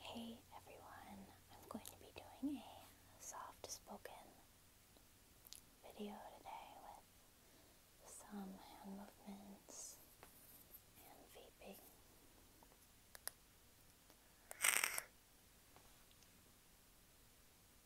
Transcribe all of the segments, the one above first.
Hey everyone, I'm going to be doing a soft spoken video today with some hand movements and vaping.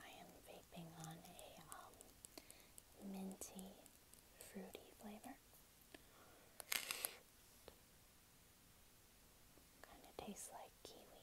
I am vaping on a um, minty, fruity flavor. Kind of tastes like kiwi.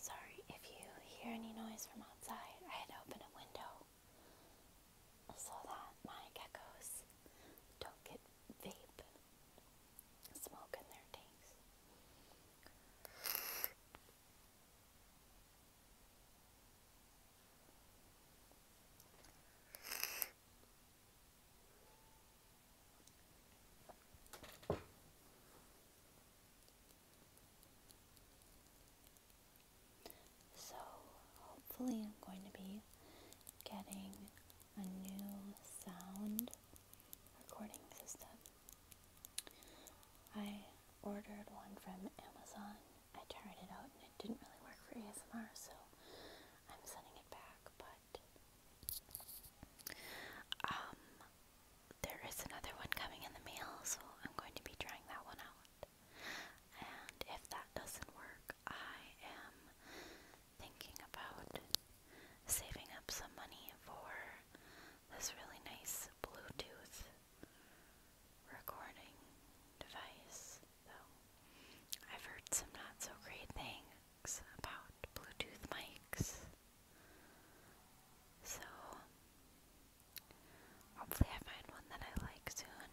Sorry if you hear any noise from outside. I had opened a window so that my geckos don't get vape smoke in their tanks. So, hopefully, I'm going to be getting a new sound recording system. I ordered one from Amazon. I tried it out and it didn't really work for ASMR, so I'm sending it back. But um, there is another one coming in the mail, so I'm going to be trying that one out. And if that doesn't work, I am thinking about saving up some money for this really nice Bluetooth recording device. Though I've heard some not so great things about Bluetooth mics. So hopefully I find one that I like soon.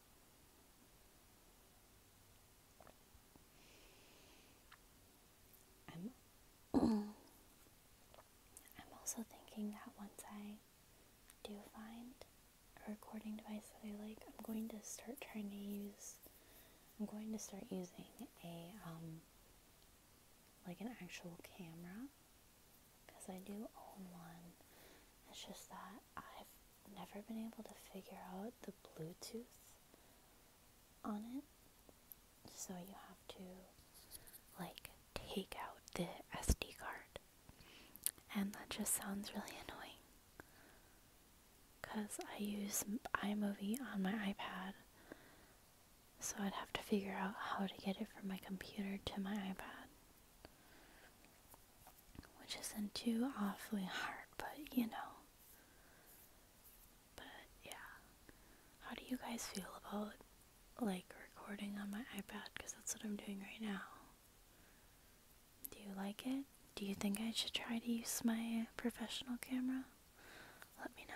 I'm also thinking that once I do find a recording device that I like, I'm going to start trying to use I'm going to start using a um like an actual camera because I do own one. It's just that I've never been able to figure out the Bluetooth on it. So you have to like take out the SD card. And that just sounds really annoying. Cuz I use iMovie on my iPad. So I'd have to figure out how to get it from my computer to my iPad which isn't too awfully hard, but you know. But yeah. How do you guys feel about like recording on my iPad? Because that's what I'm doing right now. Do you like it? Do you think I should try to use my professional camera? Let me know.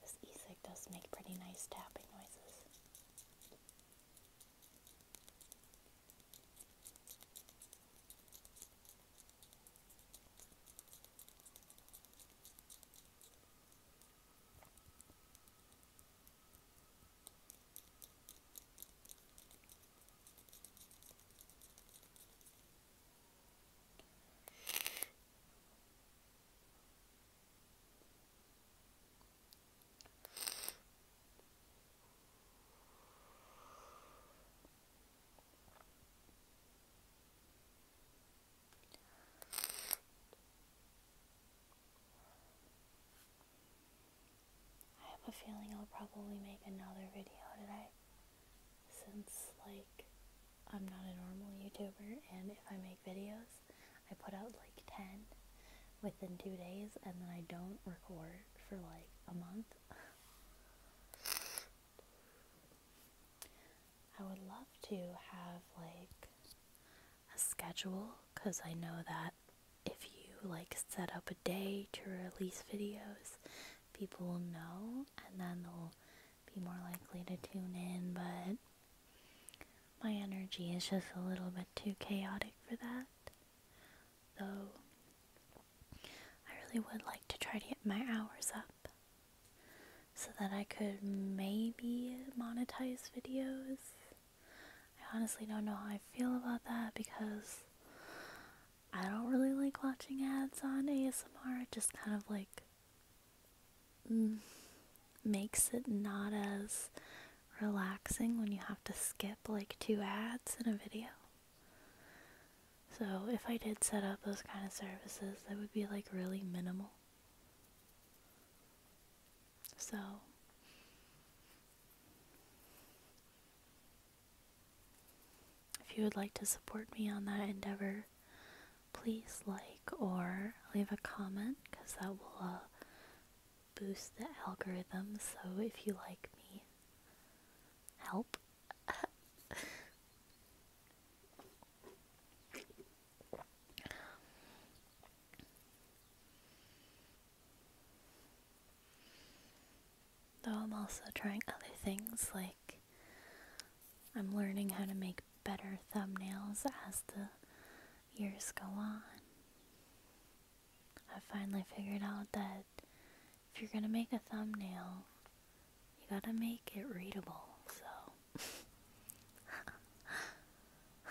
This e-cig does make pretty nice tapping noises. I have a feeling I'll probably make another video today since like I'm not a normal YouTuber and if I make videos I put out like 10 within two days and then I don't record for like a month. I would love to have like a schedule because I know that if you like set up a day to release videos people will know and then they'll be more likely to tune in, but my energy is just a little bit too chaotic for that. Though I really would like to try to get my hours up so that I could maybe monetize videos. I honestly don't know how I feel about that because I don't really like watching ads on ASMR. It just kind of like mm, makes it not as relaxing when you have to skip like two ads in a video. So if I did set up those kind of services, that would be like really minimal. So if you would like to support me on that endeavor, please like or leave a comment because that will uh, boost the algorithm. So if you like me, help. Though I'm also trying other things, like I'm learning how to make better thumbnails as the years go on. I finally figured out that if you're gonna make a thumbnail, you gotta make it readable, so.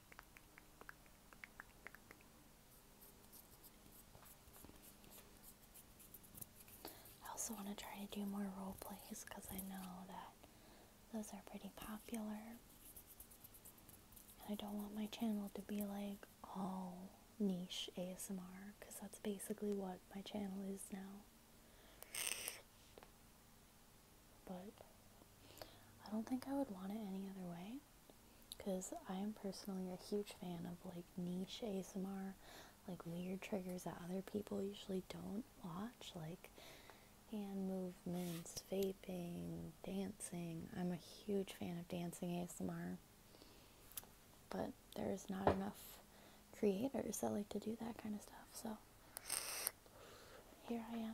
I also want to try to do more role plays because I know that those are pretty popular. And I don't want my channel to be like all niche ASMR because that's basically what my channel is now but I don't think I would want it any other way because I am personally a huge fan of like niche ASMR, like weird triggers that other people usually don't watch, like hand movements, vaping, dancing. I'm a huge fan of dancing ASMR, but there's not enough creators that like to do that kind of stuff, so here I am.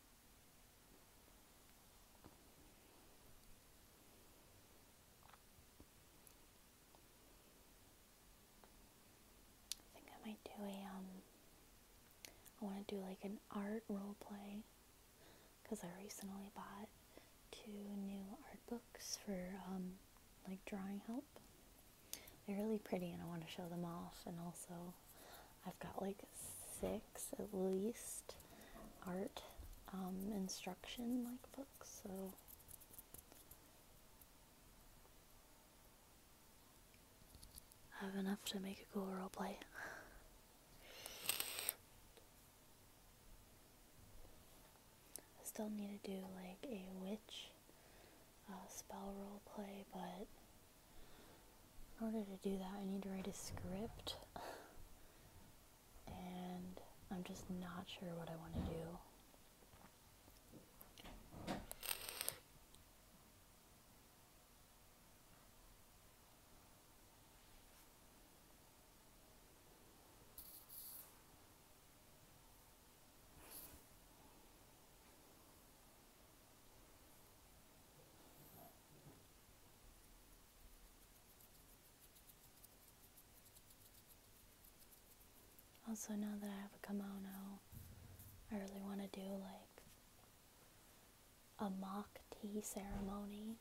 I think I might do a, um, I want to do like an art role play because I recently bought two new art books for, um, like drawing help. They're really pretty and I want to show them off and also I've got like six at least art um, instruction like books, so I have enough to make a cool role play. I still need to do like a witch uh, spell role play, but in order to do that, I need to write a script, and I'm just not sure what I want to do. Also, now that I have a kimono, I really want to do like a mock tea ceremony.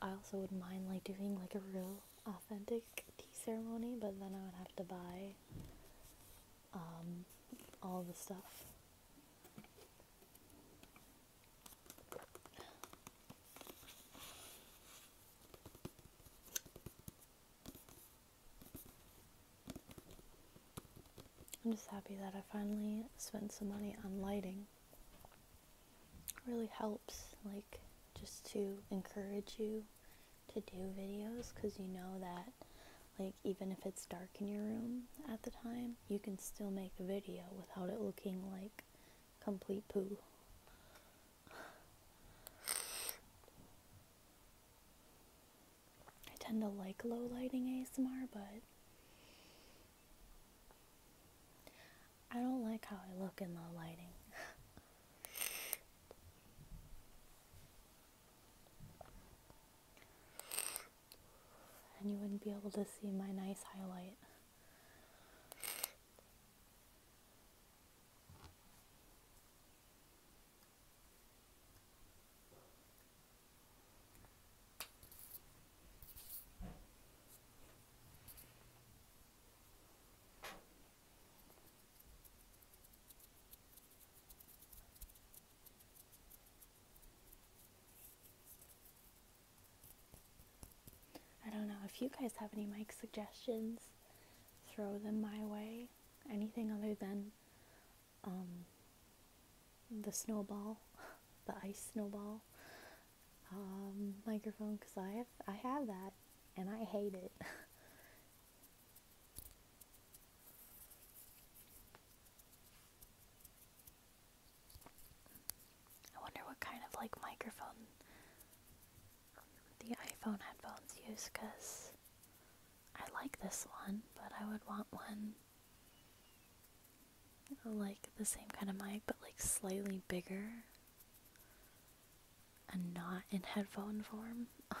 I also wouldn't mind like doing like a real authentic tea ceremony, but then I would have to buy um, all the stuff. I'm just happy that I finally spent some money on lighting. It really helps, like, just to encourage you to do videos because you know that, like, even if it's dark in your room at the time, you can still make a video without it looking like complete poo. I tend to like low lighting ASMR, but I don't like how I look in the lighting. and you wouldn't be able to see my nice highlight. I don't know if you guys have any mic suggestions, throw them my way. Anything other than um, the snowball, the ice snowball um, microphone, because I have I have that and I hate it. I wonder what kind of like microphone the iPhone headphones use because I like this one, but I would want one like the same kind of mic but like slightly bigger and not in headphone form.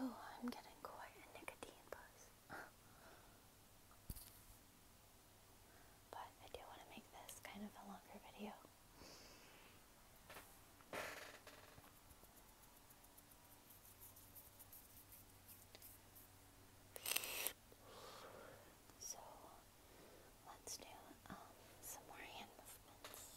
Oh, I'm getting quite a nicotine buzz. but I do want to make this kind of a longer video. So let's do um, some more hand movements.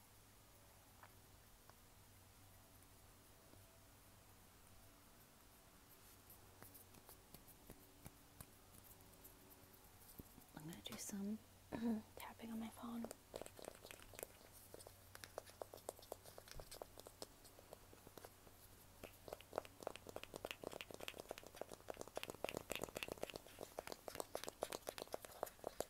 I'm going to do some tapping on my phone.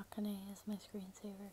Akane is my screensaver.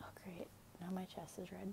Oh, great. Now my chest is red.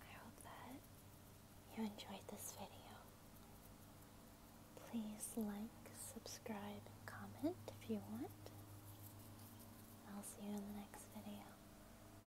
I hope that you enjoyed this video. Please like, subscribe, comment if you want. I'll see you in the next video.